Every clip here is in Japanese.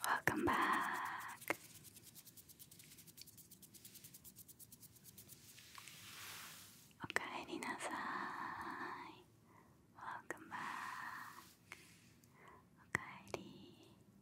Welcome back. Okaeri nasai. Welcome back. Okaeri.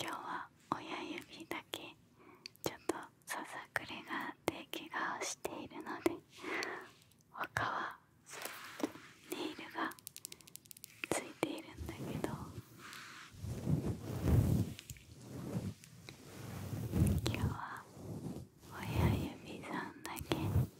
今日は親指だけちょっとささくれがあって怪我をしているので他はネイルがついているんだけど今日は親指さんだけ。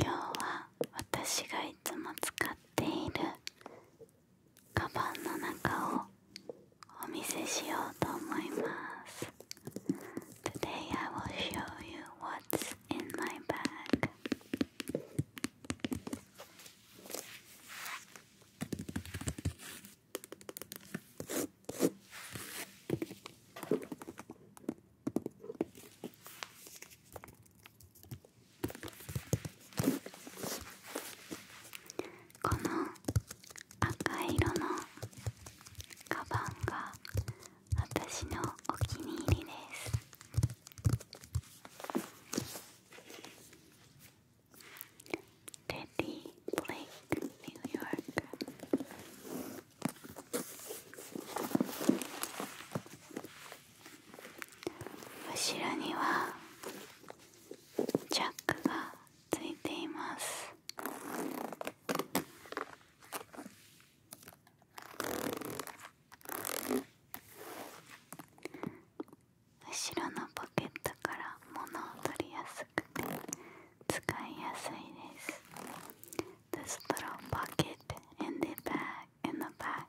今日は私がいつも使ってっているカバンの中をお見せしようと思います。Today I will show you what's in my bag. この赤色のカバンが私のお気に入りですテディ・ブレイク・ニューヨーク後ろにはジャックがついています後ろのポケットから物を取りやすくて使いやすいです The straw pocket in the bag in the bag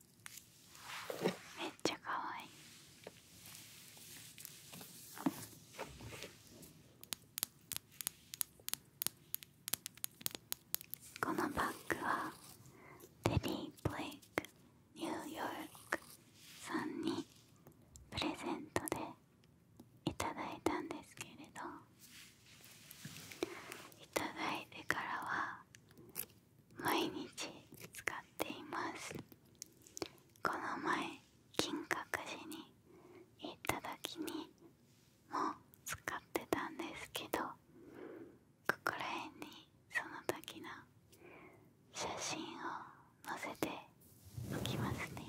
めっちゃかわいいこのバッグはデリー・ブレイクニューヨークさんにプレゼントでいただいたんですけれどいただいてからは毎日使っていますこの前金閣寺に行った時にも使ってたんですけどここら辺にその時の写真を載せておきますね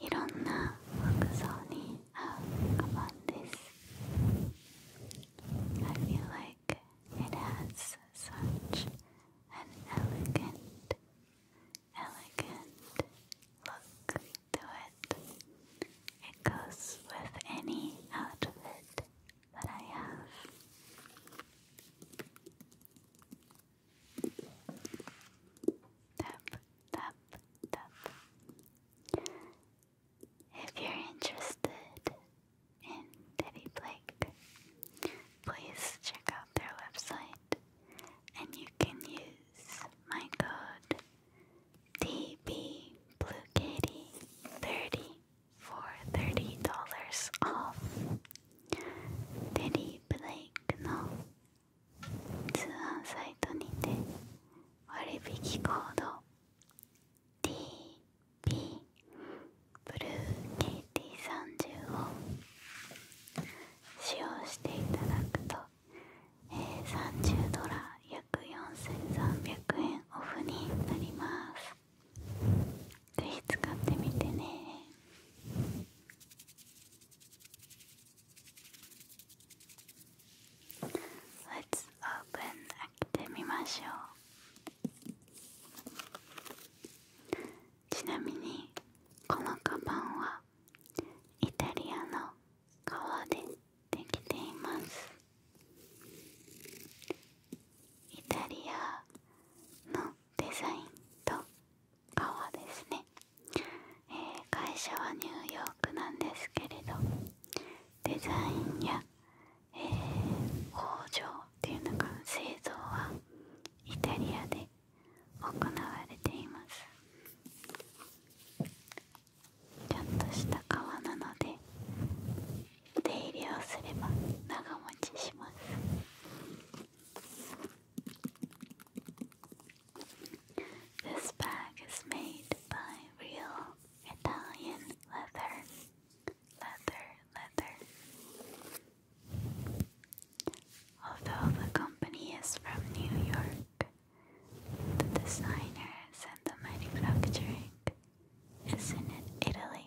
いろんな服装に up upon this. I feel like it has such an elegant, elegant look to it. It goes with any outfit that I have. Tap, tap, tap. If you're interested in Teddy Blake, please check out their website and you can use my code DBBlueKatie30 for $30 off. Teddy Blake, no. 通販サイトにて割引コード DP ブルー KT30 を使用していただくと、えー、30ドラ約4300円オフになりますぜひ使ってみてね Let's open 開けてみましょうちなみにこのカバンはイタリアの革でできていますイタリアのデザインと革ですねえ会社はニューヨークなんですけれどデザインや、え工場っていうのが製造はイタリアで行われていますちょっとした革なので手入れをすれば長持ちします This bag is made by real Italian leather. Leather, leather. Although the company is from New York, the designers and the manufacturing is in Italy.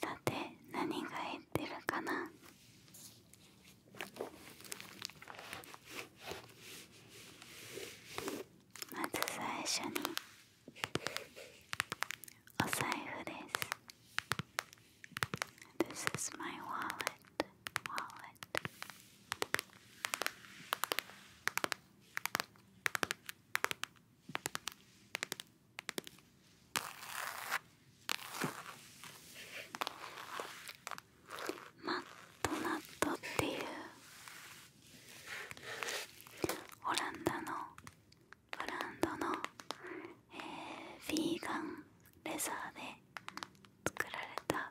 さて何が言ってるかなまず最初にお財布です This is my wallet マットナットっていうオランダのブランドの、えー、ヴィーガンレザーで作られた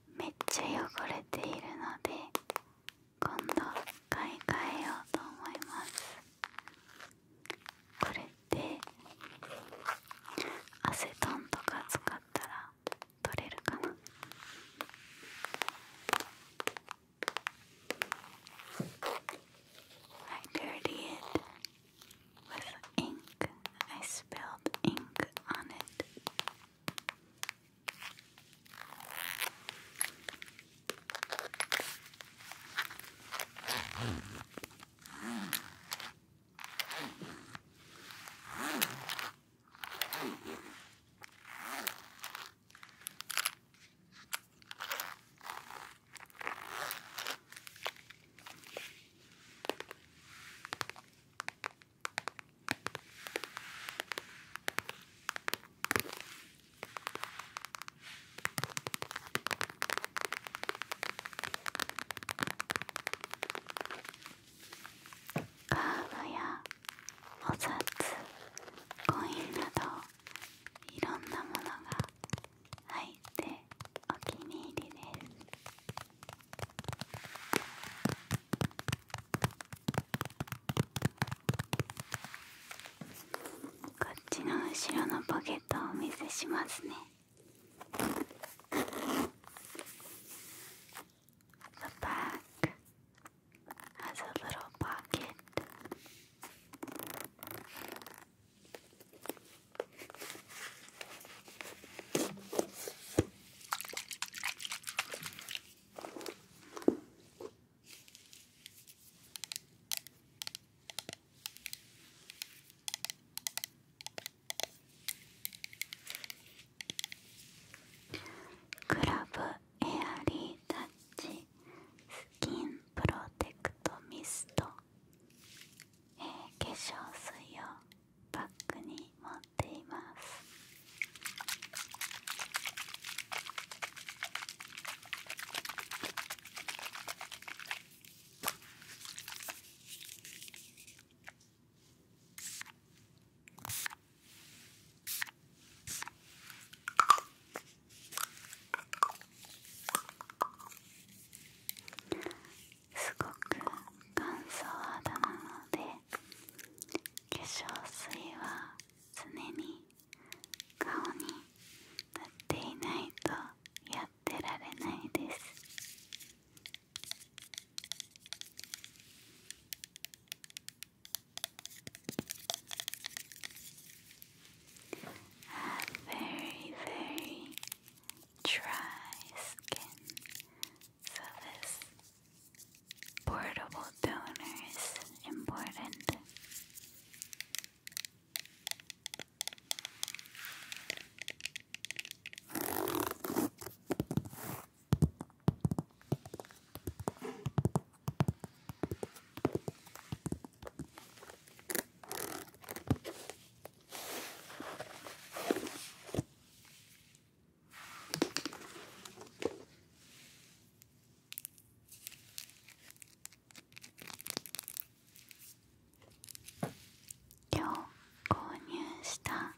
めっちゃ汚れているので今度買い替えようと思いますこれってアセトンとか使ったら取れるかな「はい、i r t with ink. I spilled ink on it. カードやお札コインなどいろんなものが入ってお気に入りですこっちの後ろのポケットをお見せしますねクラブエアリータッチスキンプロテクトミスト、ええ、化粧水をバックに持っていますすごく乾燥肌なので化粧水は常に顔に塗っていないとやってられないです「A very very dry skin surface. Portable toner is important. 今日購入した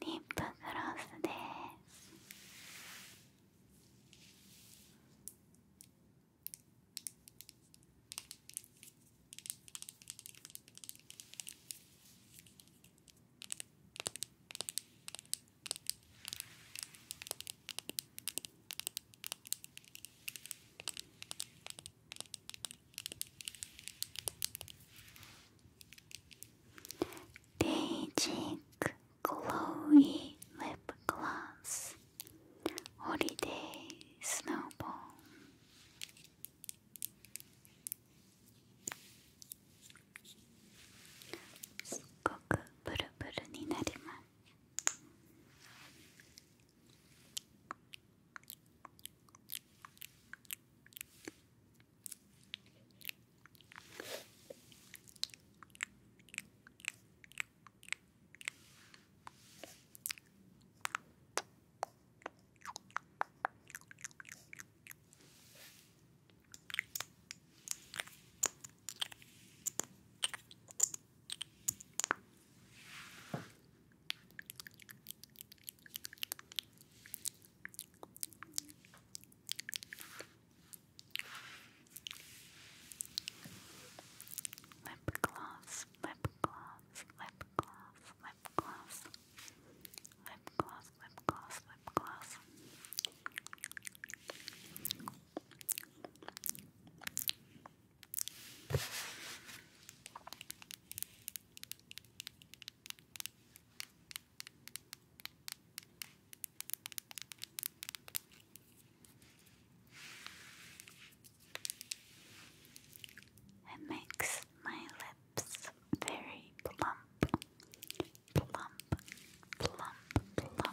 リップグロスです Daydream Glowy Lip Gloss Holiday Snowball すっごくブルブルになります。Lip gloss, lip gloss, lip gloss, lip gloss, lip gloss, lip gloss, lip gloss. It makes my lip very plump, plump, plump, plump, plump, plump, plump.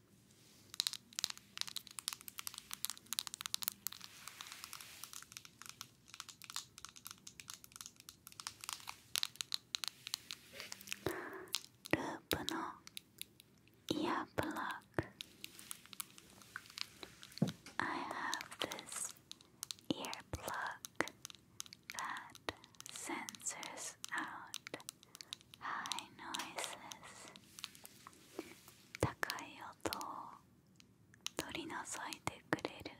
ループのイヤープラグ I have this earplug that censors out ハイノイ n 高い音を取り除いてくれる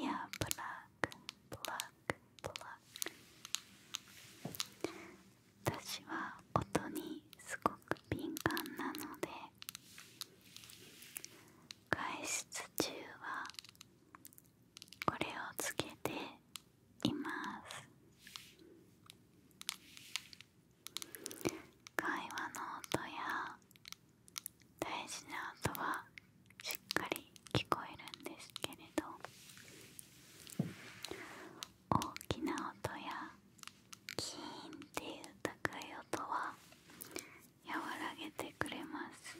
イヤーブラグプラグプラグ私は音にすごく敏感なので外出中はこれをつけています会話の音や大事な音はしっかり聞こえるんですけれど大きな音やキーンっていう高い音は和らげてくれます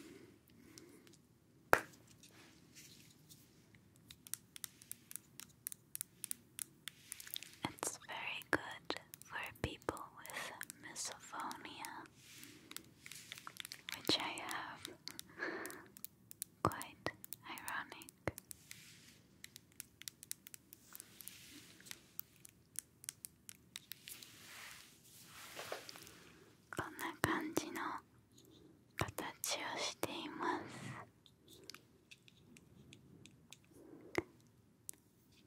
It's very good for people with misophonia, which I have. Quite ironic. こんな感じの形をしています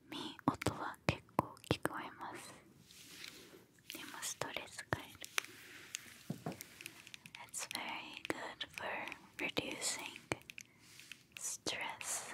み音は結構聞こえますでもストレスがいる It's very good for reducing stress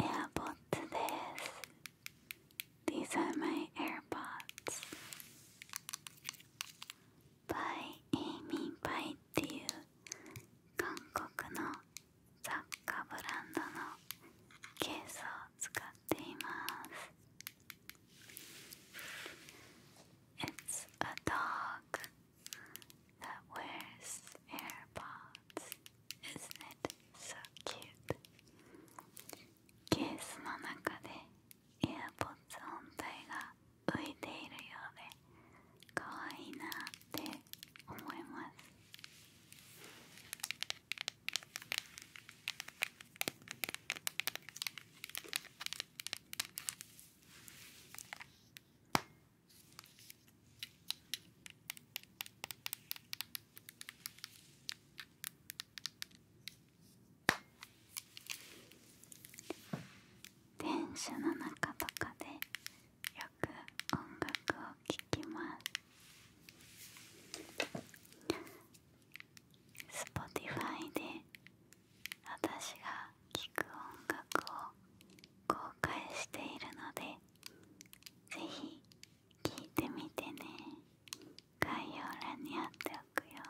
AirPods These are my AirPods. パイ・エイミー・パイっていう韓国の雑貨ブランドのケースを使っています。It's a dog that wears AirPods. Isn't it so cute? ケースの中で AirPods 本体が浮いているようで可愛いなって思います電車の中とかでよく音楽を聴きます。Spotify で私が聴く音楽を公開しているのでぜひ聴いてみてね概要欄に貼っておくよ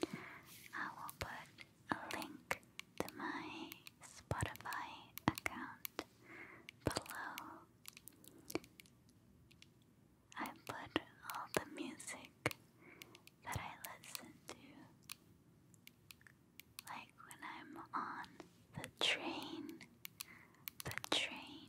I l l p u a link to my Spotify account below. I put all the music that I listen to, like when I'm on the train, the train.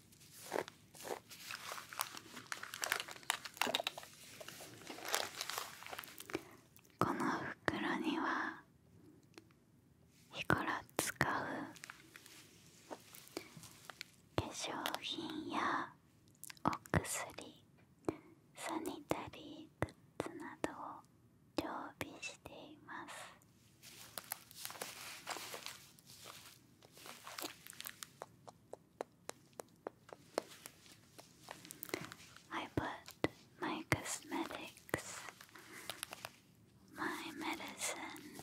この袋には日頃使う化粧品やお薬サニタリーグッズなどを常備しています I put my cosmetics, my medicine,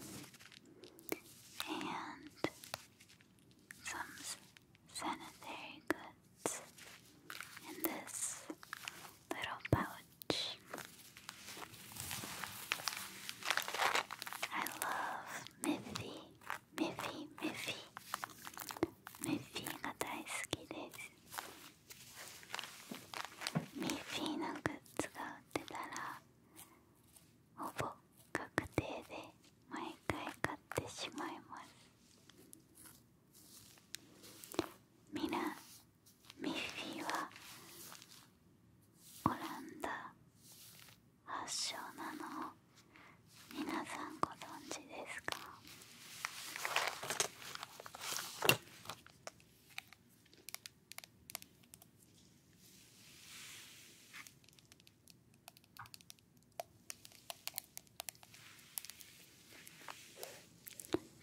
and some sanitary goods in this little pouch. I love メフィーメフィーメフィメフィーが大好きですミッフィーのグッズが売ってたらほぼ確定で毎回買ってしまいますみなミッフィーはオランダ発祥なのを皆さんご存知ですか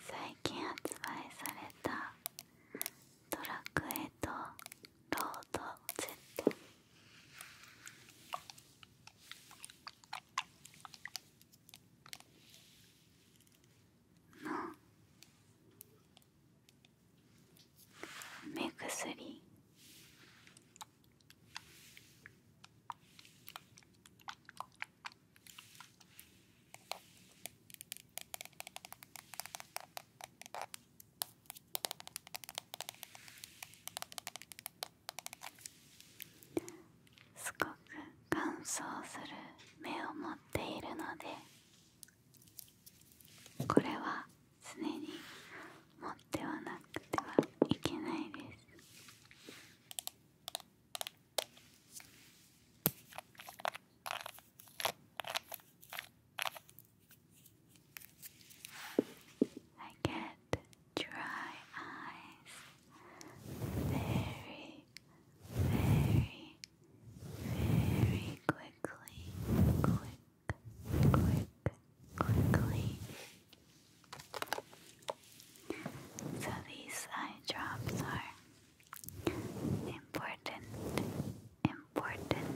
最近発売された「ドラクエ」とロード Z の目薬すごく乾燥する目を持っているのでこれは常に持ってはなくてはいけないです I get dry eyes very, very, very quickly. Quick, quick, quickly. So these eye drops are important, important,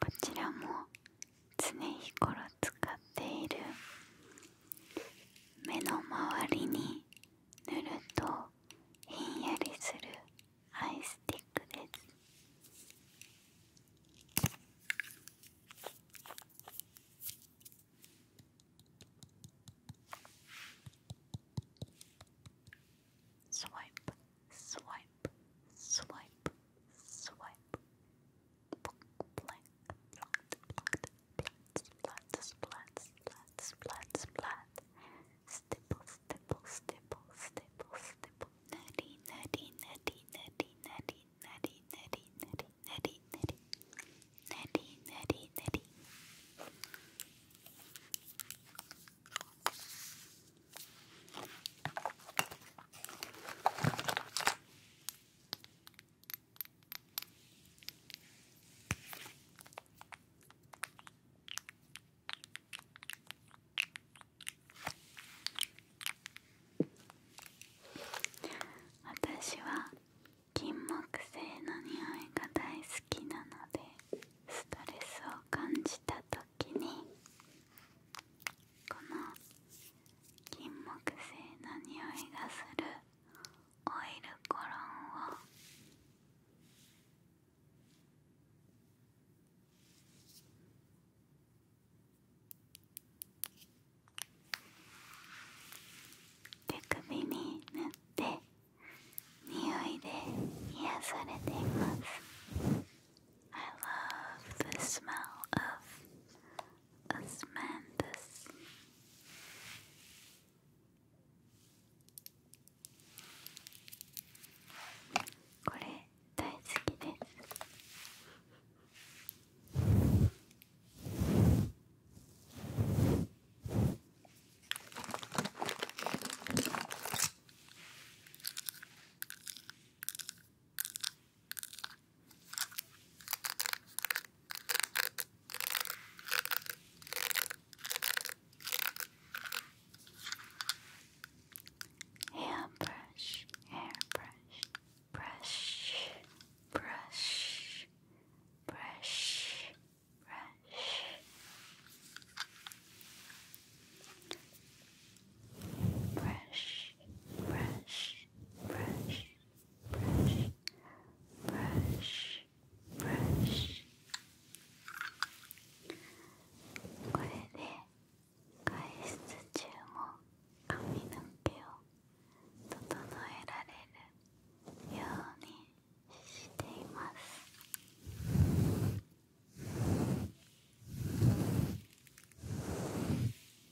こちらも常日頃使っている目の周りに塗るとひんやりするアイスティックですスワイプスワイプスワイプスワイプブラックブラックブラック splat, splat, splat, splat, splat, splat. Stipple, stipple, stipple, stipple, stipple. Nutty, nutty, nutty, nutty, nutty, nutty, nutty, nutty, nutty, nutty, nutty, nutty, nutty. 私は金木犀の匂いが大好きなのでストレスを感じた時にこの金木犀の匂いがするオイルコロンを手首に塗って匂いで癒されています I love the smell of Osmanthus これ大好きです Hairbrush, hairbrush, brush, brush, brush, brush. Brush, brush, brush, brush b r u s これで外出中も髪の毛を整えられるようにしています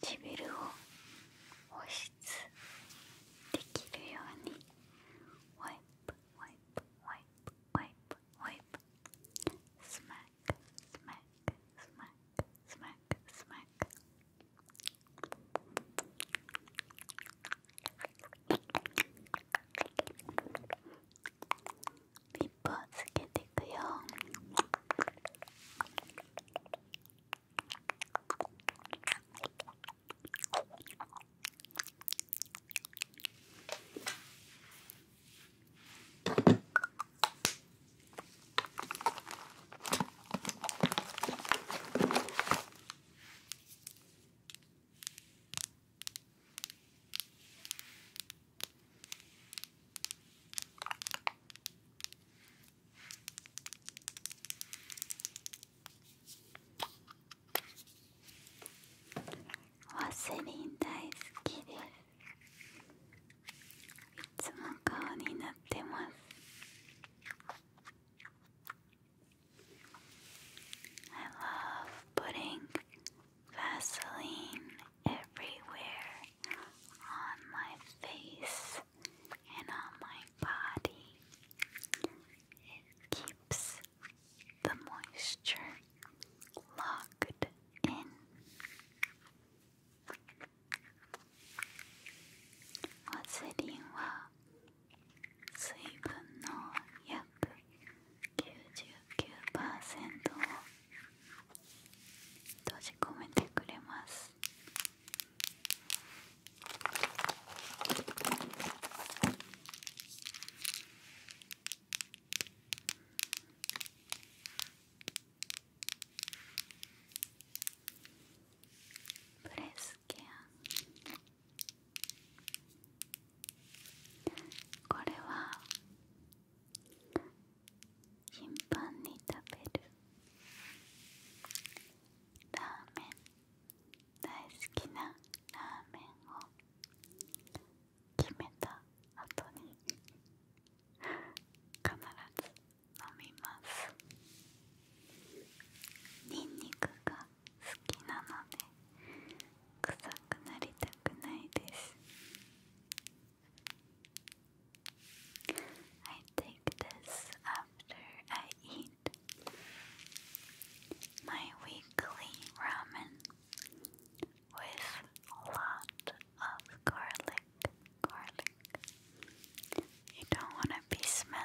唇を保湿できるようにワイプワイプワイプワイプワイプスマックスマックスマックスマックスマックリップをつけていくよワセリン大好きですいつも顔になってます I love putting Vaseline everywhere on my face and on my body. It keeps the moisture locked in. 我最近我水分の約99%を閉じ込めてくれますプレスケアこれは頻繁に食べるラーメン大好きなラーメンを決めた後に必ず飲みますにんにくが好きなので臭くなりたくないです。I take this after I eat my weekly ramen with a lot of garlic. Garlic. You don't want to be smelly.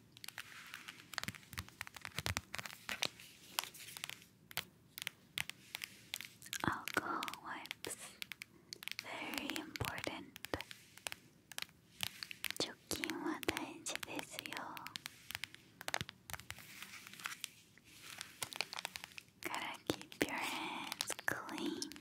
Alcohol wipes, very important. 除菌は大事ですよ。Gotta keep your hands clean.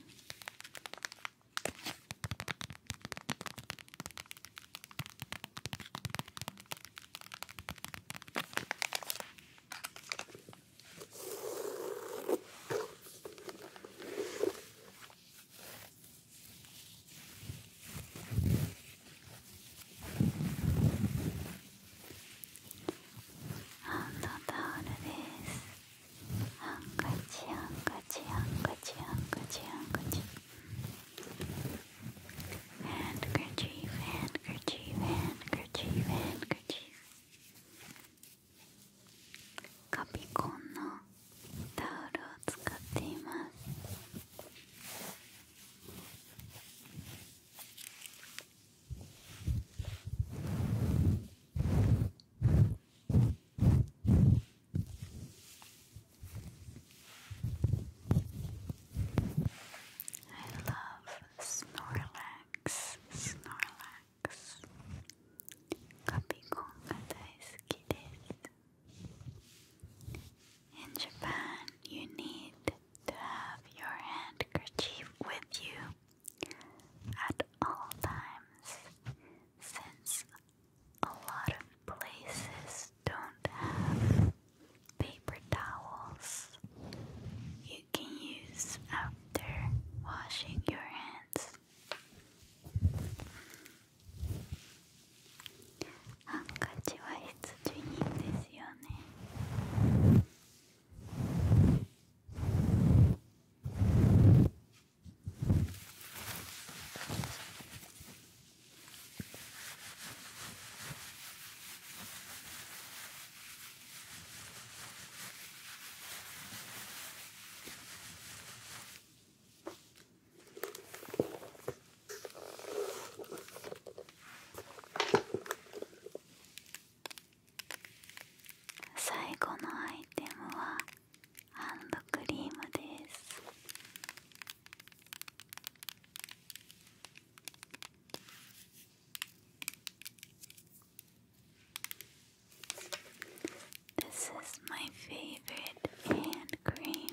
ハンドタオルですハンカチハンカチハンカチハンカチハンカチ handkerchief, handkerchief, handkerchief, handkerchief カピコンのタオルを使っています I love Snorlax, Snorlax. Kapikonga daisuki desu. In Japan, you need to have your handkerchief with you at all times, since a lot of places don't have paper towels you can use after washing your hands. 最後のアイテムはハンドクリームです This is my favorite hand cream.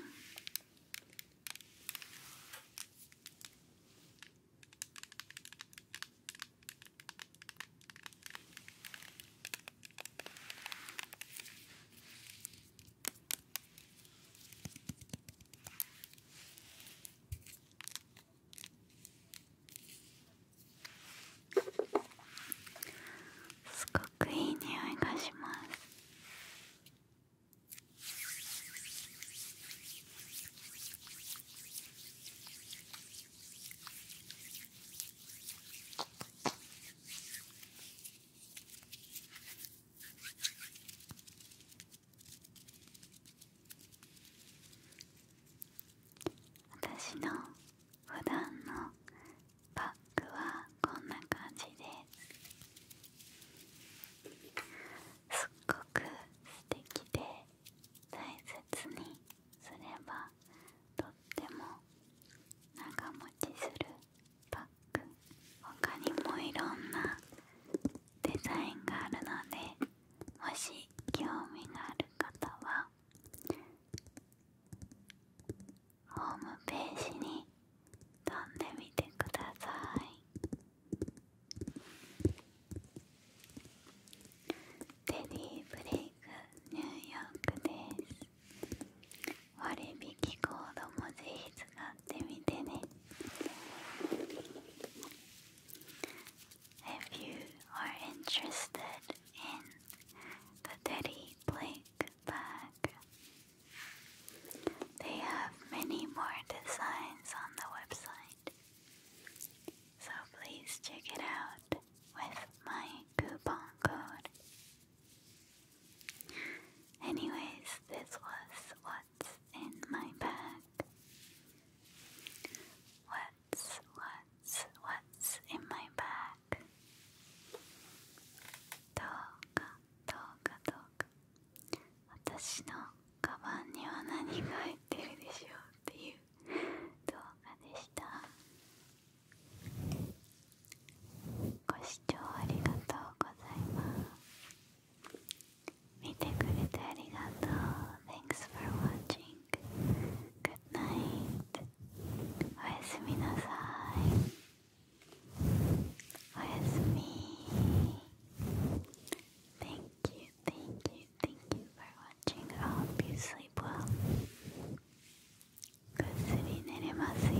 すごくいい匂いがします。私の普段のバッグはこんな感じですすっごく素敵で大切にすればとっても長持ちするバック他にもいろんなデザインがあるのでもし興味がある方はホームページに飛んでみてくださいテディブレイクニューヨークです割引コードもぜひ使ってみてね If you are interested in the Teddy Blake bag, they have many more designs on the website. So please check it out with my coupon code Anyways, this was what's in my bag. What's, what's, what's in my bag? どうか、どうか、どうか。私のカバンには何が入ってるでしょうっていう動画でした。ご視聴ありがとうございます見てくれてありがとう Thanks for watching Good night おやすみなさいおやすみ Thank you, thank you, thank you for watching I hope you sleep well ぐっすり寝れますよ